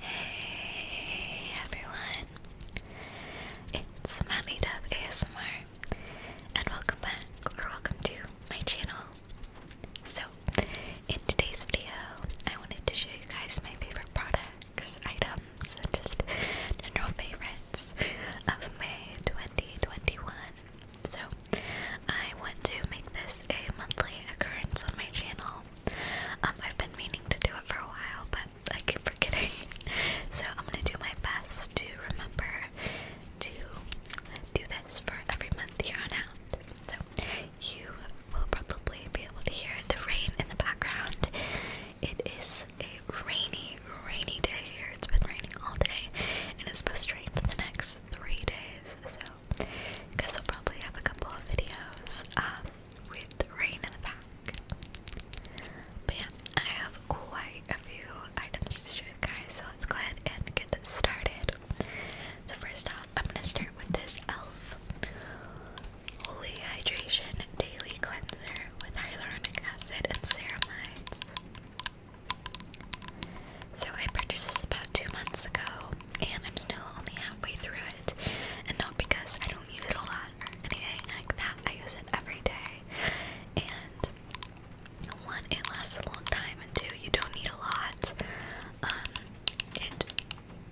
Hey everyone, it's MadlyDub ASMR, and welcome back or welcome to my channel. So, in today's video, I wanted to show you guys my favorite products, items, and just general favorites of May 2021. So, I want to make this a monthly occurrence on my channel. Um, I've been meaning to do it for a while, but I keep forgetting. So I'm gonna do my best to remember to do this for every month here on out. So you will probably be able to hear the rain in the background. It is a rainy, rainy day here. It's been raining all day, and it's supposed to rain for the next three days. So, guess I'll probably have a couple of videos um, with rain in the back. But yeah, I have quite a few items to show you guys, so let's go ahead and get started. So first off, I'm gonna start with this e.l.f. Holy Hydration Daily Cleanser with Hyaluronic Acid and Ceramides. So I purchased this about two months ago, and I'm still only halfway through it. And not because I don't use it a lot or anything like that, I use it every day. And one, it lasts a long time, and two, you don't need a lot. Um, it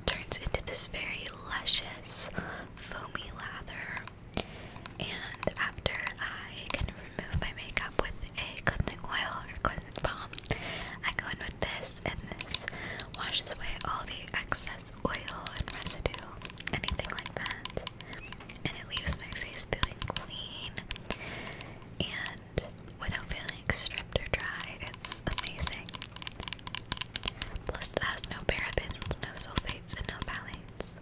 turns into this very luscious, foamy lather. And after I kind of remove my makeup with a cleansing oil or cleansing I go in with this, and this washes away all the excess oil and residue, anything like that. And it leaves my face feeling clean and without feeling stripped or dry. It's amazing. Plus, it has no parabens, no sulfates, and no phthalates.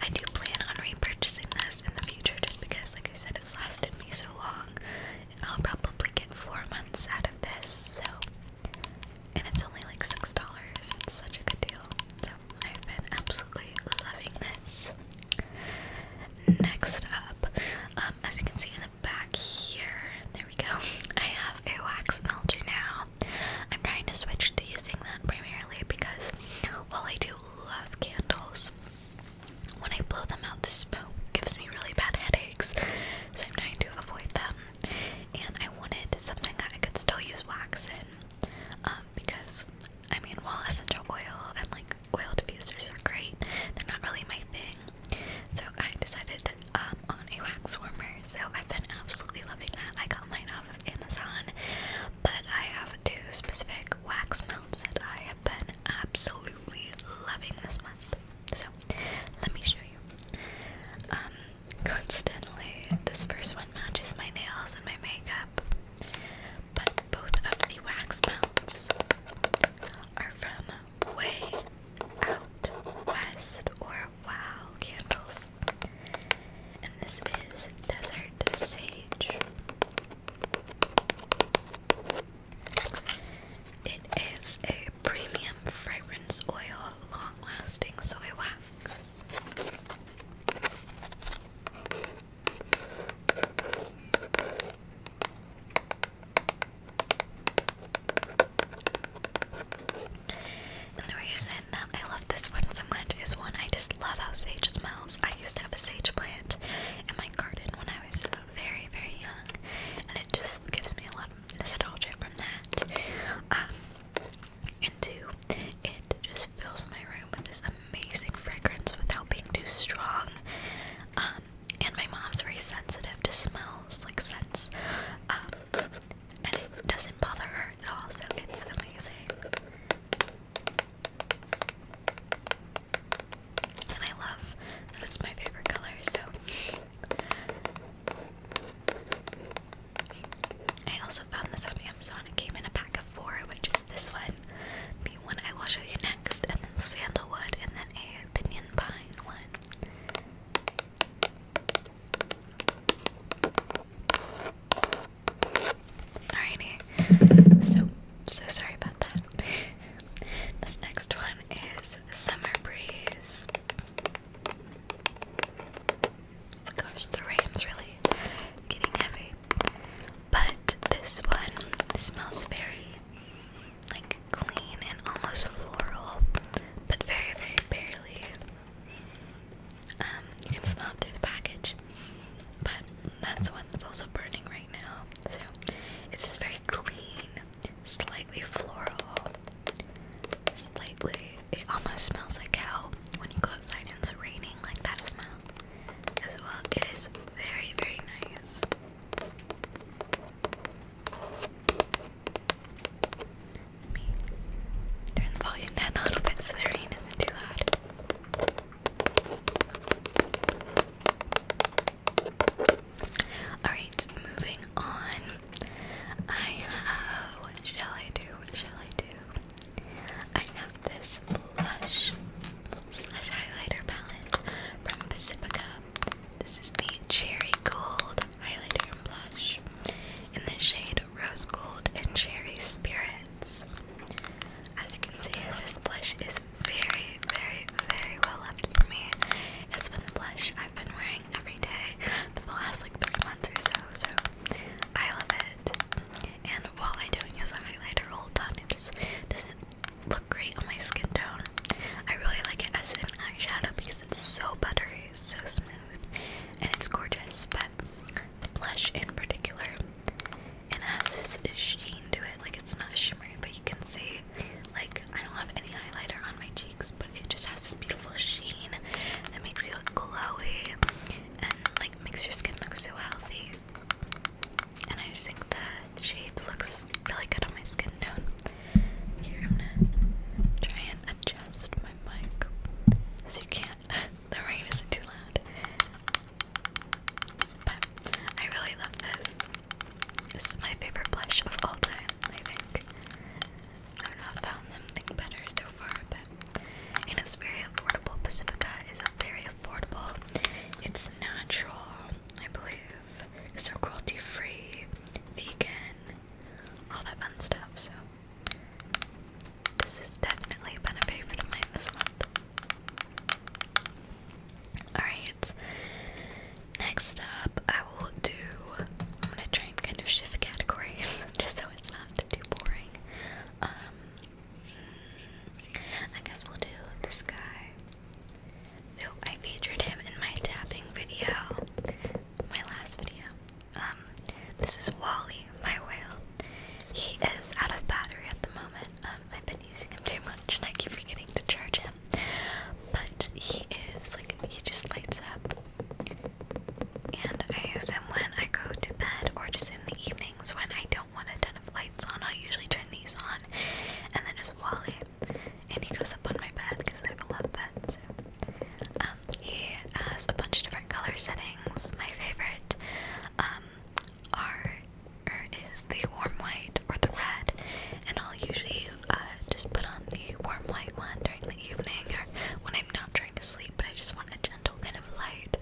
I do plan on repurchasing this in the future just because, like I said, it's lasted me so long. I'll probably get four months out of this, so. And it's only like $6. It's such a good deal. So I've been absolutely loving this. Next up, um, as you can see in the back here, there we go. I have a wax melter now. I'm trying to switch to using that primarily because while I do love candles, when I blow them out, the smoke gives me really bad headaches, so I'm trying to avoid them. And I wanted something that I could still use wax in, um, because I mean, while essential oil and like oil diffusers are great, they're not really my thing. So I decided um, on a wax warmer. So I've been absolutely loving that. I got mine off of Amazon, but I have two specific wax melts that I have been absolutely loving this month. So let me show you. Um, coincidentally, this first one matches my nails and my makeup, but both of the wax melts are from Way Out West or Wow Candles. And this is Desert Sage. It is a premium fragrance oil, long lasting soy wax. And the reason that I love this one so much is one, I just just love how sage smells. I used to have a sage plant in my garden when I was very, very young, and it just gives me a lot of nostalgia from that. Um, and two, it just fills my room with this amazing fragrance without being too strong. Um, and my mom's very sensitive to smells, like scents. Um, and it doesn't bother her at all, so it's amazing. And I love that it's my favorite color, so. I also found this on Amazon. It came in a pack of four, which is this one, the one I will show you next, and then sandalwood, and then a pinion pine one. Alrighty. So so sorry about that. this next one is Summer Breeze. Gosh, the rain's really getting heavy. But this one smells very like clean and almost floral, but very, very barely. Um, you can smell it through the package. But that's one that's also burning right now. So it's this very clean, slightly floral, slightly. It almost smells like how when you go outside and it's raining, like that smell as well. It is very, very nice. turn the volume down a little bit so the rain isn't too loud. Alright, moving on. I have. What shall I do? What shall I do? I have this blush highlighter palette from Pacifica. This is the Cherry Gold Highlighter Blush in the shade Rose Gold and Cherry Spirits. As you can see, this blush is very, very, very well loved for me. It's been the blush I've been wearing every day for the last like three months or so, so I love it. And while I don't use a highlighter all the it just doesn't look great on my skin tone. I really like it as an eyeshadow because it's so buttery, so smooth, and it's gorgeous. But the blush in particular. And has this sheen to it, like it's not shimmery, but you can see, like I don't have any highlighter on my cheeks, but it just has this beautiful sheen that makes you look glowy and like makes your skin look so healthy. And I think the shade looks really good on my skin tone. Here I'm gonna try and adjust my mic so you can't. the rain isn't too loud. I really love this. This is my favorite blush of all time, I think. I've not found something better so far, and it's very affordable. Pacifica is very affordable. It's natural, I believe. It's so cruelty free, vegan, all that fun stuff. So this has definitely been a favorite of mine this month. Alright, next up I will do. I'm gonna try and kind of shift categories just so it's not too boring. Um, I guess we'll do this guy. So I featured him in my tapping video, my last video. Um, this is Wally my whale. He is out of battery at the moment. Um, I've been using him too much and I keep forgetting to charge him. But he is like, he just lights up. And I use him when I go to bed or just in the evenings when I don't want a ton of lights on. i usually turn these on and then just Wally. And he goes up on my bed because I have a love bed. Um, he has a bunch of different color settings. My favorite um, are or is the warm white or the red, and I'll usually uh, just put on the warm white one during the evening or when I'm not trying to sleep, but I just want a gentle kind of light.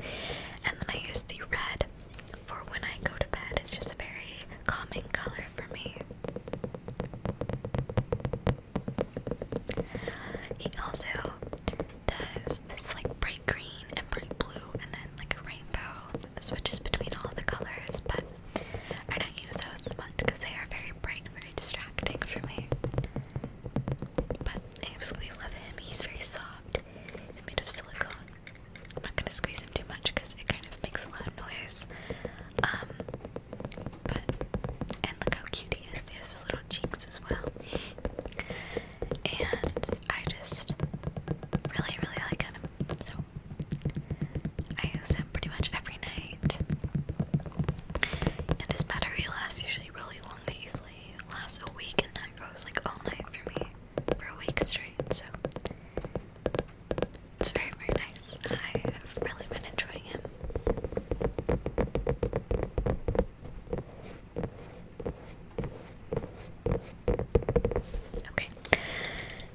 And then I use the red for when I go to bed. It's just a very calming color for me. He also does this like bright green and bright blue and then like a rainbow switches between all the colors, but I don't use those much because they are very bright and very distracting for me. But I absolutely love him. He's very soft. He's made of silicone. I'm not gonna squeeze him too much because it kind of makes a lot of noise. Um but and look how cute he is. He has little cheeks as well and I just really, really like him. So I use him pretty much every night. And his battery lasts usually really long. but usually lasts a week, and that goes like all night for me for a week straight. So it's very, very nice. I have really been enjoying him. Okay,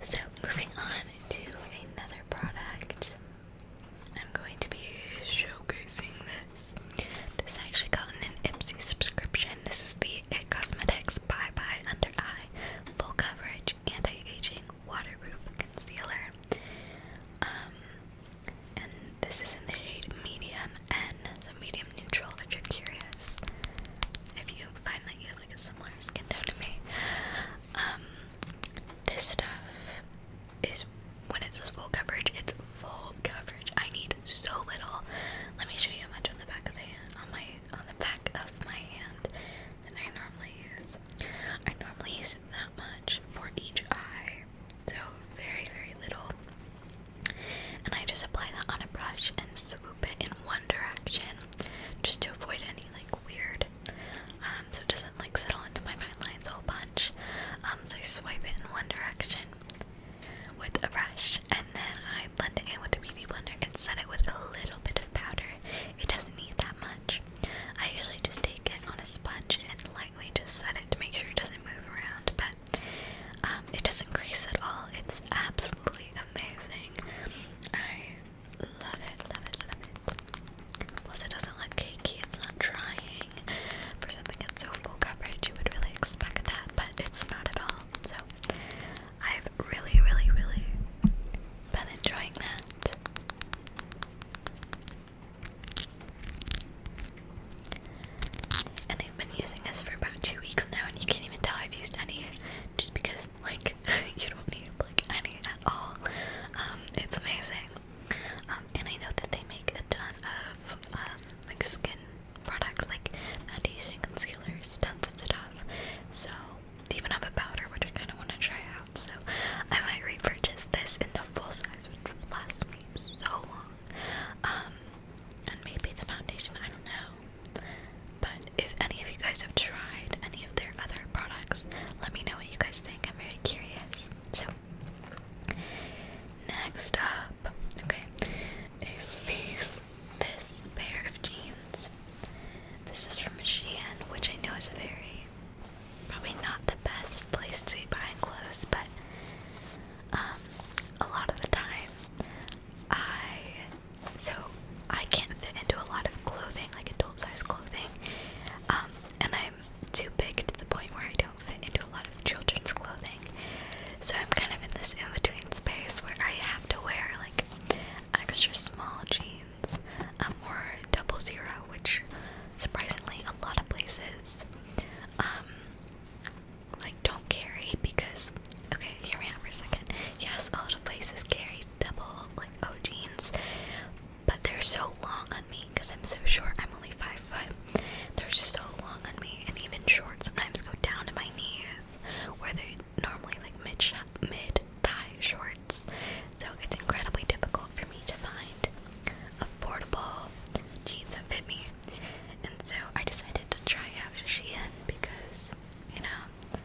so moving on to another product. I'm going to be showcasing this. This I actually got in an Ipsy subscription. This is the It Cosmetics Bye Bye Under Eye Full Coverage Anti-Aging Waterproof Concealer. Um, and this is in the shade medium N, so medium neutral if you're curious. If you find that you have like a similar skin tone to me. Um this stuff is when it says full coverage, it's full coverage. I need so little. Let me show you how much on the back of the hand on my on the back of my hand that I normally use. I normally use that much for each eye. So very, very little. And I just apply that on a brush and swoop it in one direction just to avoid any like weird um, so it doesn't like settle into my fine lines a whole bunch. Um, so I swipe it in one direction with a brush and then I blend it in with a beauty blender and set it with a little bit of powder. It doesn't need that much. I usually just take it on a sponge and lightly just set it to make sure it doesn't move around, but um, it doesn't crease at all. It's absolutely amazing. I love it, love it, love it. Plus, it doesn't look cakey. It's not drying. For something that's so full coverage, you would really expect that, but it's not at all. So, I've really, really, really been enjoying that. And I've been using this for about two weeks now, and you can't even tell I've used any, just because like you don't need like any at all. Um, it's amazing. Um, and I know that they make a ton of um, like skin products, like foundation, concealers, tons of stuff. So they even have a powder, which I kind of want to try out. So I might repurchase this in the full size, which will last me so long. Um, and maybe the foundation, I don't know. But if any of you guys have tried any of their other products, let me know what you guys think. I'm very curious. So, next up, okay, is this pair of jeans. This is from Shein, which I know is a very, probably not the best place to be buying clothes, but um, a lot of the time, I so I can't fit into a lot of clothing, like adult size clothing, um, and I'm too big to the point where I don't fit into a lot of children's clothing. So I'm kind of in this in between space where I have to wear like extra small jeans um, or double zero, which surprisingly a lot of places. Um, like don't carry because okay, here we have for a second. Yes, a lot of places carry double like O jeans, but they're so long on me because I'm so short. I'm only five foot. They're so long on me, and even short sometimes go down to my knees, where they're normally like mid mid thigh shorts. So it's incredibly difficult for me to find affordable jeans that fit me. And so I decided to try out a Shein because, you know,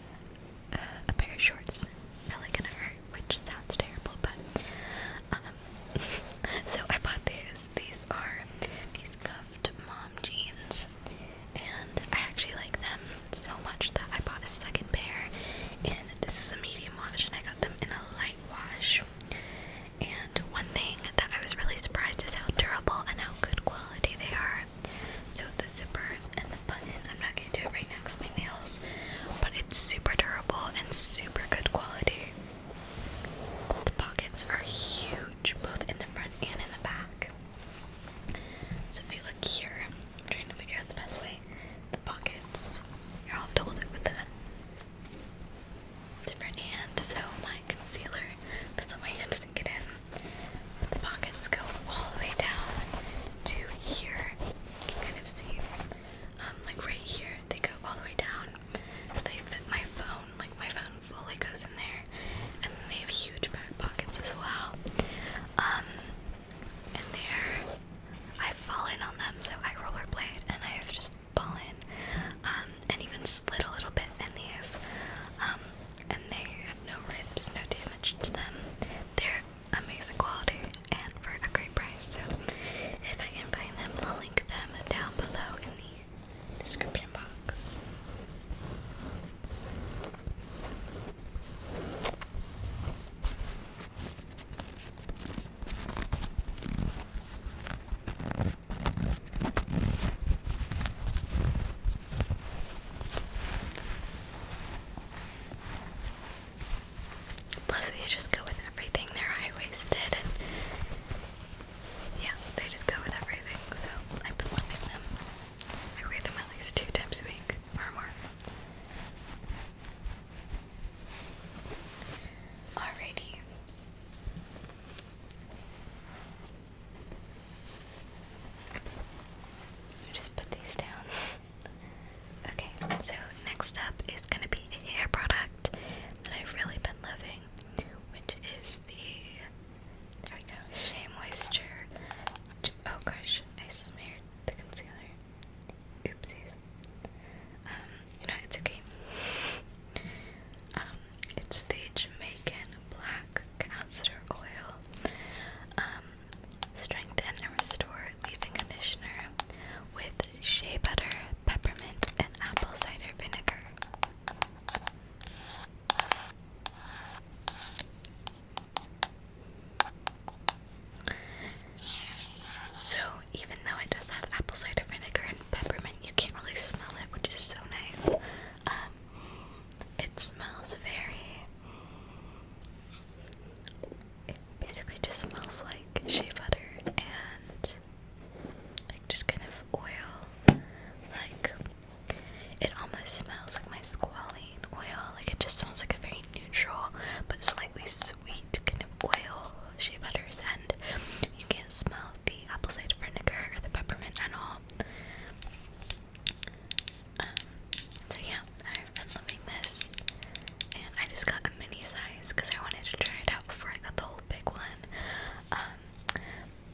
uh, a pair of shorts really gonna hurt, which sounds terrible, but um, so I bought these. These are these cuffed mom jeans, and I actually like them so much that I bought a second pair. And this is a medium wash, and I got them in a light wash. And one thing that I was really surprised is how durable and how good quality they are. So the zipper and the button, I'm not going to do it right next to my nails, but it's super durable and super good quality. The pockets are huge, both in the front and in the back. So if you look here, I'm trying to figure out the best way. The pockets. Here, I'll have with that different hand, so my concealer, that's why my hand doesn't get in. the pockets go all the way down to here. You can kind of see, um, like right here, they go all the way down. So they fit my phone, like my phone fully goes in there. And they have huge back pockets as well. Um, there, I've fallen on them, so I rollerblade and I have just fallen um, and even slid a little bit in these. Um, and they had no rips, no damage to them. They're amazing quality and for a great price. So if I can find them, I'll link them down below in the description box. Plus, these just go with everything. They're high waisted, and yeah, they just go with everything. So I've been them. I wear them at least two times a week or more. Alrighty, i just put these down. okay, so next up is going to be a hair product that I've really been loving, which is the. There we Shea Moisture. Oh gosh, I smeared the concealer. Oopsies. Um, you know, it's okay. Um, it's the Jamaican black castor oil. Um, and restore leave-in conditioner with shea butter, peppermint, and apple cider vinegar. So, even even it does have apple cider vinegar and peppermint, you can't really smell it, which is so nice. Um, it smells very. It basically just smells like shea butter and like just kind of oil. Like it almost smells like my squalene oil. Like it just smells like a very neutral but slightly sweet kind of oil shea butters, and you can smell the apple cider vinegar or the peppermint at all. Um, so yeah, I've been loving this, and I just got a mini size because I wanted to try it out before I got the whole big one. Um,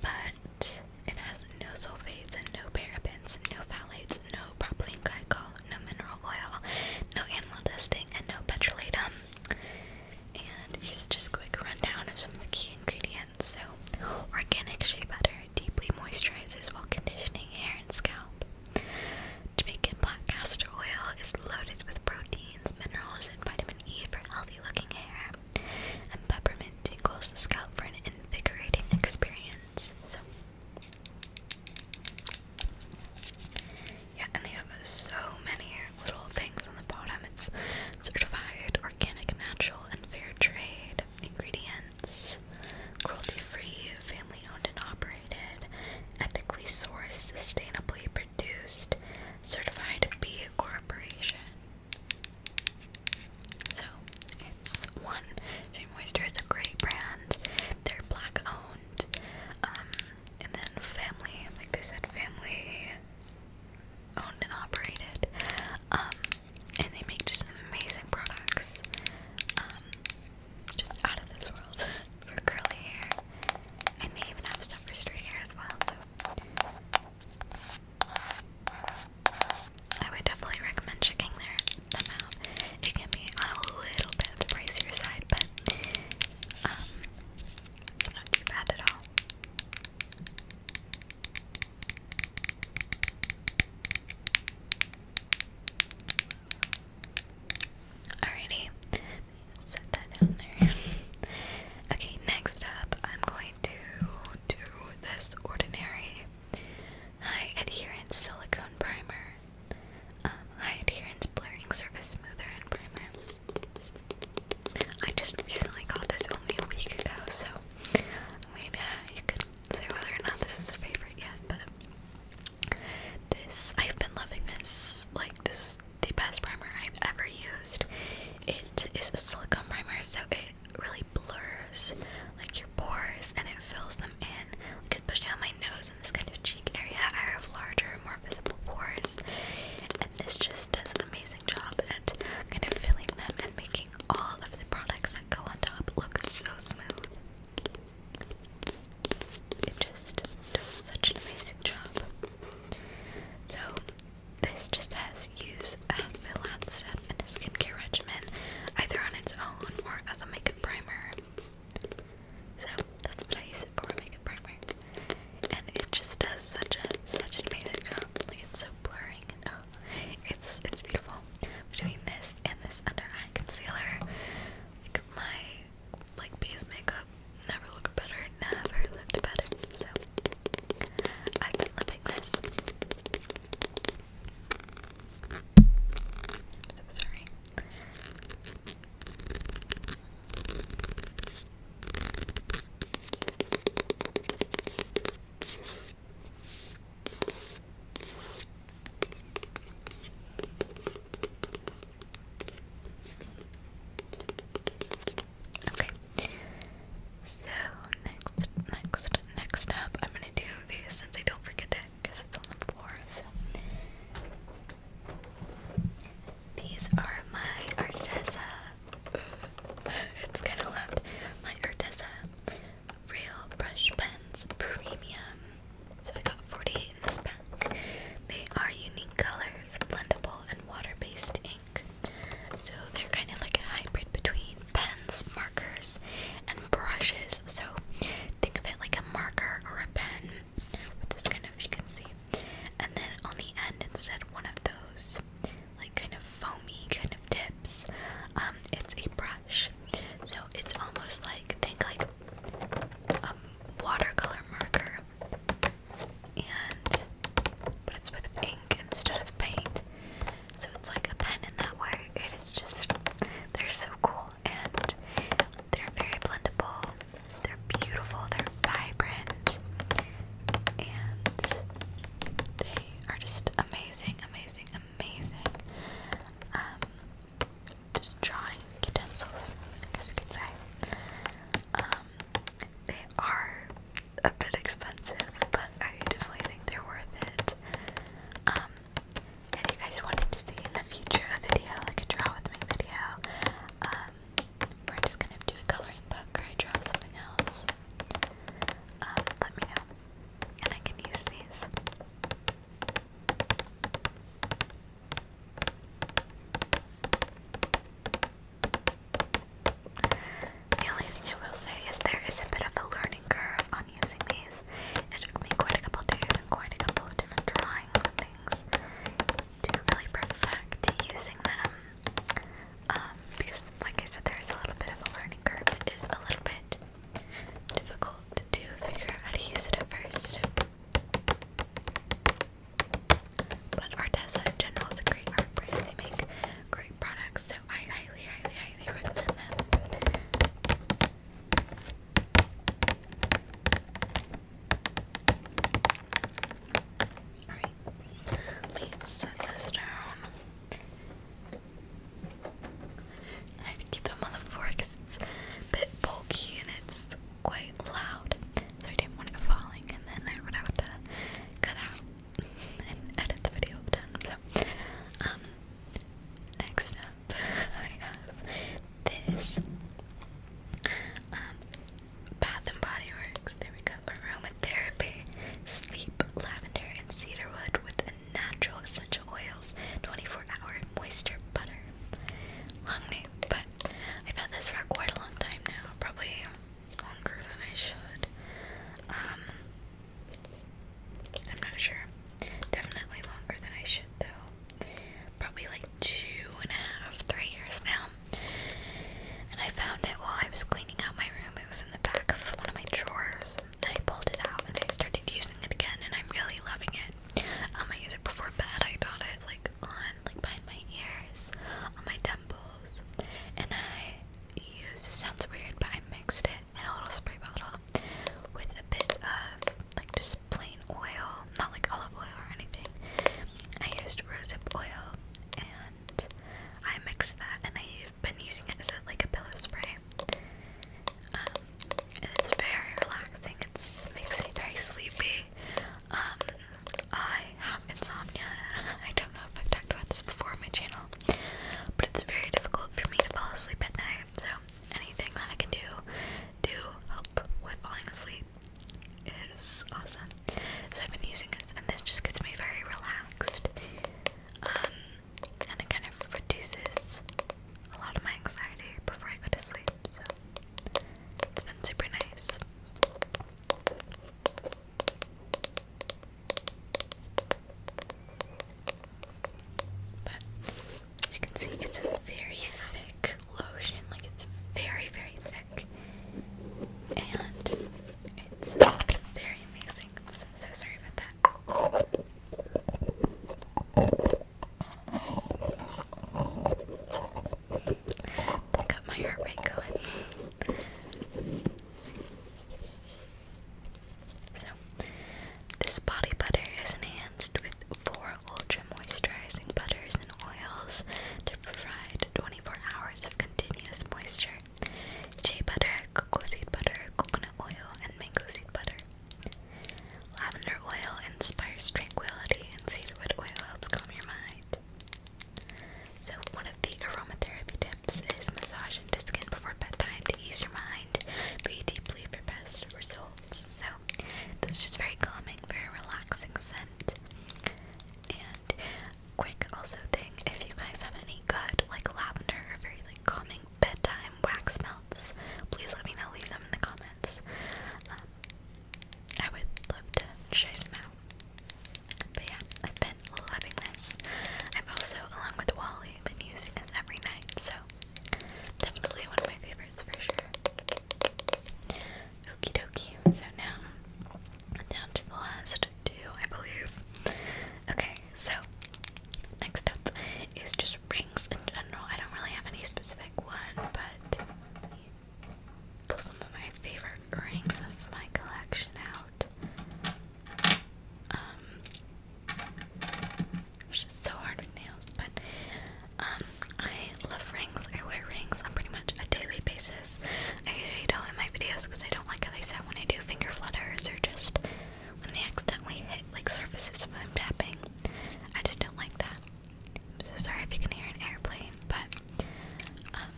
but it has no sulfates and no parabens, no phthalates, no propylene glycol, no mineral oil, no animal testing, and no petrolatum. And here's just a quick rundown of some of the key ingredients. So, organic shea butter deeply moisturizes while conditioning hair and scalp. Jamaican black castor oil is loaded with proteins, minerals, and vitamin E for healthy looking hair. And peppermint tingles the scalp for an invigorating experience. So, yeah, and they have so many little things on the bottom. It's certified, organic, natural, and fair trade ingredients, cruelty free, family owned and operated, ethically sourced, sustainably produced, certified B Corporation. So it's one Shea Moisture is a great brand. They're black owned um, and then family, like they said, family owned and operated. Um, and they make just amazing products. Um, just out of this world for curly hair. And they even have stuff for straight hair as well, so. I would definitely recommend checking their, them out. It can be on a little bit of the pricier side, but it's not too bad at all. Alrighty, okay, next up, I'm going to do this ordinary high adherence silicone primer. Um, high blurring surface smoother and primer. I just recently got this only a week ago, so I mean, uh, you could say whether or not this is a favorite yet, but this, I've been loving this. Like, this is the best primer I've ever used. It is a silicone primer, so it really blurs like your pores and it fills them in, like especially on my nose in this kind of cheek area I have larger, more visible pores, and this just does an amazing job at kind of filling them and making all of the products that go on top look so smooth. It just does such an amazing job. So, this just has use as the last step in a skincare regimen, either on its own or as a makeup primer. So that's what I use it for, makeup primer. And it just does such a such amazing job. Like it's so blurring and oh it's it's beautiful. Between this and this under eye concealer, like my like base makeup never looked better, never looked better. So I've been loving this. I'm so sorry. Okay. So next, next, next up, I'm gonna do these since I don't forget it because it's on the floor. So these are my Arteza. it's kind of loved. My Arteza Real Brush Pens Premium. So I got 48 in this pack. They are unique colors, blendable, and water based ink. So they're kind of like a hybrid between pens, markers, and brushes. So think of it like a marker or a pen, this kind of you can see. And then on the end, instead one of those like kind of foamy kind of tips, um, it's a brush. So it's almost like think like a um, watercolor marker, and but it's with ink instead of paint. So it's like a pen in that way. It is just they're so cool and they're very blendable. They're beautiful, they're vibrant, and they are just amazing, amazing, amazing. Um, just drawing utensils, I guess you could say. Um, they are a bit expensive, but I definitely think they're worth it. if um, you guys wanted to see in the future a video, like a draw with me video, um, we're just gonna do a coloring book or I draw something else. Um, let me And I can use these. The only thing I will say is there is a bit of a learning curve on using these. It took me quite a couple days and quite a couple of different drawings to really perfect using them. Um, because, like I said, there is a little bit of a learning curve. It is a little bit difficult to figure out how to use it at first. But Arteza in general is great art brand. They make great products, so I highly, highly, highly recommend them. Alright, let's set this down. I keep them on the floor it's a bit bulky and it's quite loud. So I didn't want it falling and then I would have to cut out and edit the video down. um, next I have this um, Bath and Body Works. There we go. Aromatherapy, sleep, lavender, and cedarwood with natural essential oils. 24-hour moisture butter. Long name, but I've had this for quite a long time now. Probably longer than I should. Um, I'm not sure. Definitely longer than I should, though probably like two and a half, three years now. And I found it while I was cleaning out my room. It was in the back of one of my drawers. And I pulled it out and I started using it again, and I'm really loving it. Um, I use it before bed. I got it like on, like behind my ears, on my temples, and I use. It sounds weird, but I mixed it in a little spray bottle with a bit of like just plain oil, not like olive oil or anything. I used rosehip oil and I mixed that and I've been using it as a, like a pillow spray. Um, and it's very relaxing. It makes me very sleepy. Um, I have insomnia. I don't know if I've talked about this before on my channel, but it's very difficult for me to fall asleep at night. So anything that I can do to help with falling asleep is awesome. So I've been using this, and this just gets me very relaxed. Um, and it kind of reduces a lot of my anxiety before I go to sleep. So it's been super nice. But as you can see, it's a very thick lotion. Like it's very, very thick, and it's very amazing. So, sorry about that. got my heart rate going. So, this body butter is enhanced with four ultra moisturizing butters and oils to provide 24 hours of continuous moisture. Shea butter, cocoa seed butter, coconut oil, and mango seed butter. Lavender oil inspires tranquility, and cedarwood oil helps calm your mind. So, one of the aromatherapy tips is massage into skin before bedtime to ease your mind, breathe deeply for best results. So, know, that's just very calming, very relaxing scent. And quick also thing, if you guys have any good like lavender or very like calming bedtime wax melts, please let me know. Leave them in the comments. Um, I would love to try some out. But yeah, I've been loving this. I've also, along with Wally, been using this every night, so definitely one of my favorites for sure. Okie dokie. So now, down to the last two, I believe. Okay, so next up is just rings in general. I don't really have any specific one, but pull some of my favorite rings of my collection out. Um, it's just so hard with nails, but um, I love rings. I wear rings on pretty much a daily basis. I usually don't in my videos because I don't like how they sound when I do finger flutters or just when they accidentally hit like surfaces when I'm tapping. I just don't like that. I'm so sorry if you can hear an airplane, but um,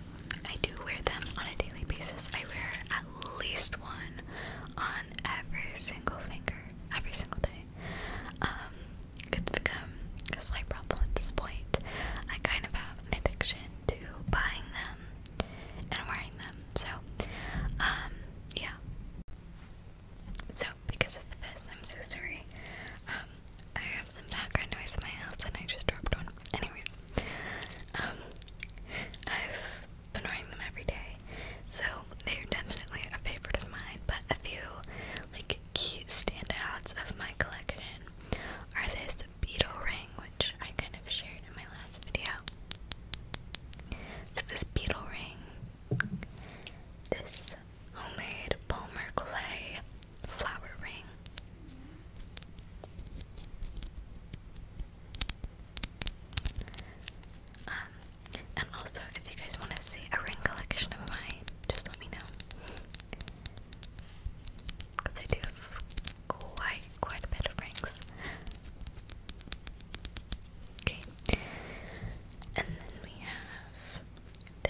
I do wear them on a daily basis. I wear at least one on every single finger, every single day. Um, it's become a slight problem at this point. I kind of have an addiction to buying them and wearing them. So, um, yeah. So, because of this, I'm so sorry. Um, I have some background noise in my house and I just dropped one. Anyways, I've been wearing them every day so they're definitely a favorite of mine, but a few like cute standouts of my collection are this beetle ring, which I kind of shared in my last video. So this beetle ring, this homemade Palmer clay flower ring. Um, and also, if you guys want to see a ring collection of mine, just let me know. Because I do quite, quite a bit of rings. Okay. And then we have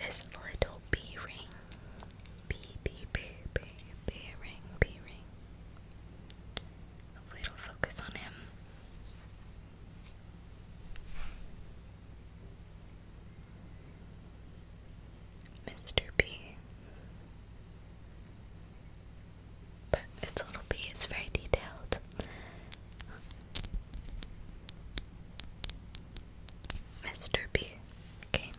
this little bee ring. Bee, bee, bee, bee, bee ring, bee ring. Hopefully it focus on him. Mr. B. But it's little B, it's very detailed. Mr. B. Okay.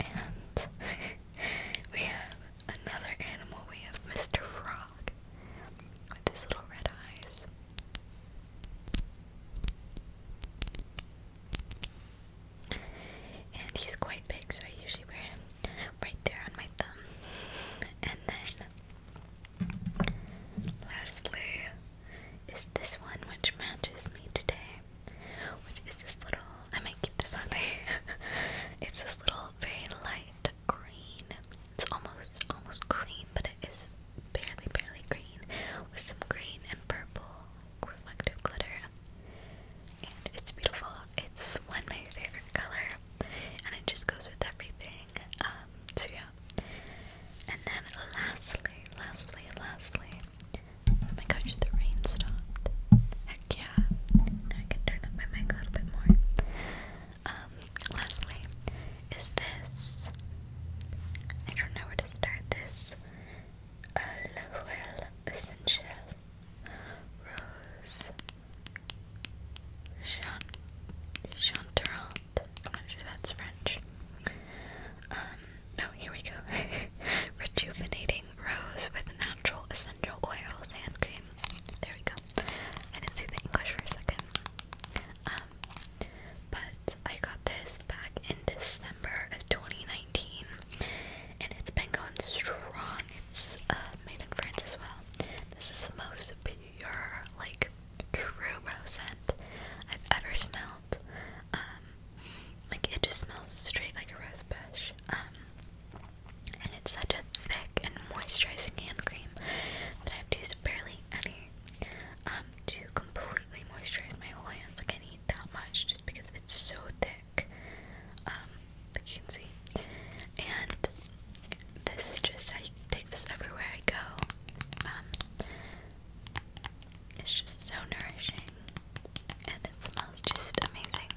And we have another animal. We have Mr. Frog with his little red eyes. And he's quite big, so I usually wear him right there on my thumb. And then, lastly, is this one which matches me today, which is this little. I might keep this on there. it's this little very light green it's almost almost green, but it is barely barely green with some green and purple reflective glitter. And it's beautiful. It's one of my favorite colors, and it just goes with everything. Um, so yeah. And then lastly, lastly, lastly. Oh my gosh, the rain stopped. Heck yeah. Now I can turn up my mic a little bit more um, is this, I don't know where to start this, Aloel Essential Rose Chanterant, I'm sure that's French, um, no, oh, here we go, Rejuvenating Rose with Natural Essential Oils and. Cream, there we go, I didn't see the English for a second, um, but I got this back in December of 2019, and it's been going strong. It's uh, made in France as well. This is the most pure, like true rose scent I've ever smelled. Um, like it just smells straight like a rose bush. Um, and it's such thick and moisturizing hand cream that I've used barely any um, to completely moisturize my whole hands. Like, I need that much just because it's so thick. Um, you can see. And this is just, how I take this everywhere I go. Um, it's just so nourishing and it smells just amazing.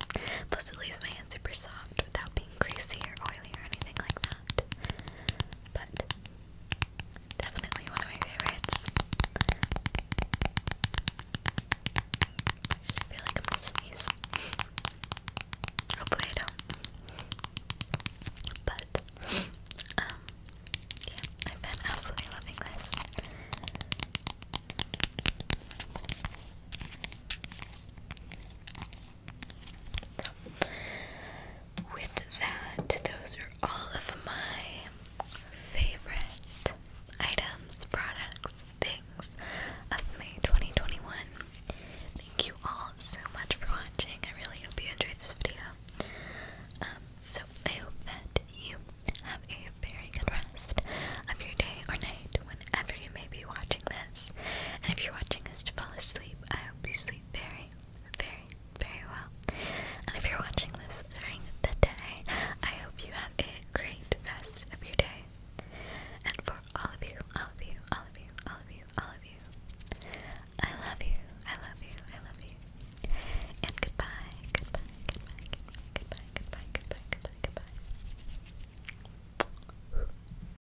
Plus, it leaves my hands super soft without being greasy or oily or anything like that. But definitely one of my favorites. I feel like I'm gonna Hopefully I don't. But um yeah, I've been absolutely loving this with that, those are all of my favorite items, products, things of May 2021. Thank you all so much for watching. I really hope you enjoyed this video. Um, so, I hope that you have a very good rest of your day or night whenever you may be watching this. And if you're watching this to fall asleep, I hope you sleep very, very, very well. And if you're watching this during the day, I hope you have a great rest of your day. And for all of you, all of you, all of you, all of you, all of you, I love you, I love you, I love you. And goodbye, goodbye, goodbye, goodbye, goodbye, goodbye, goodbye, goodbye, goodbye.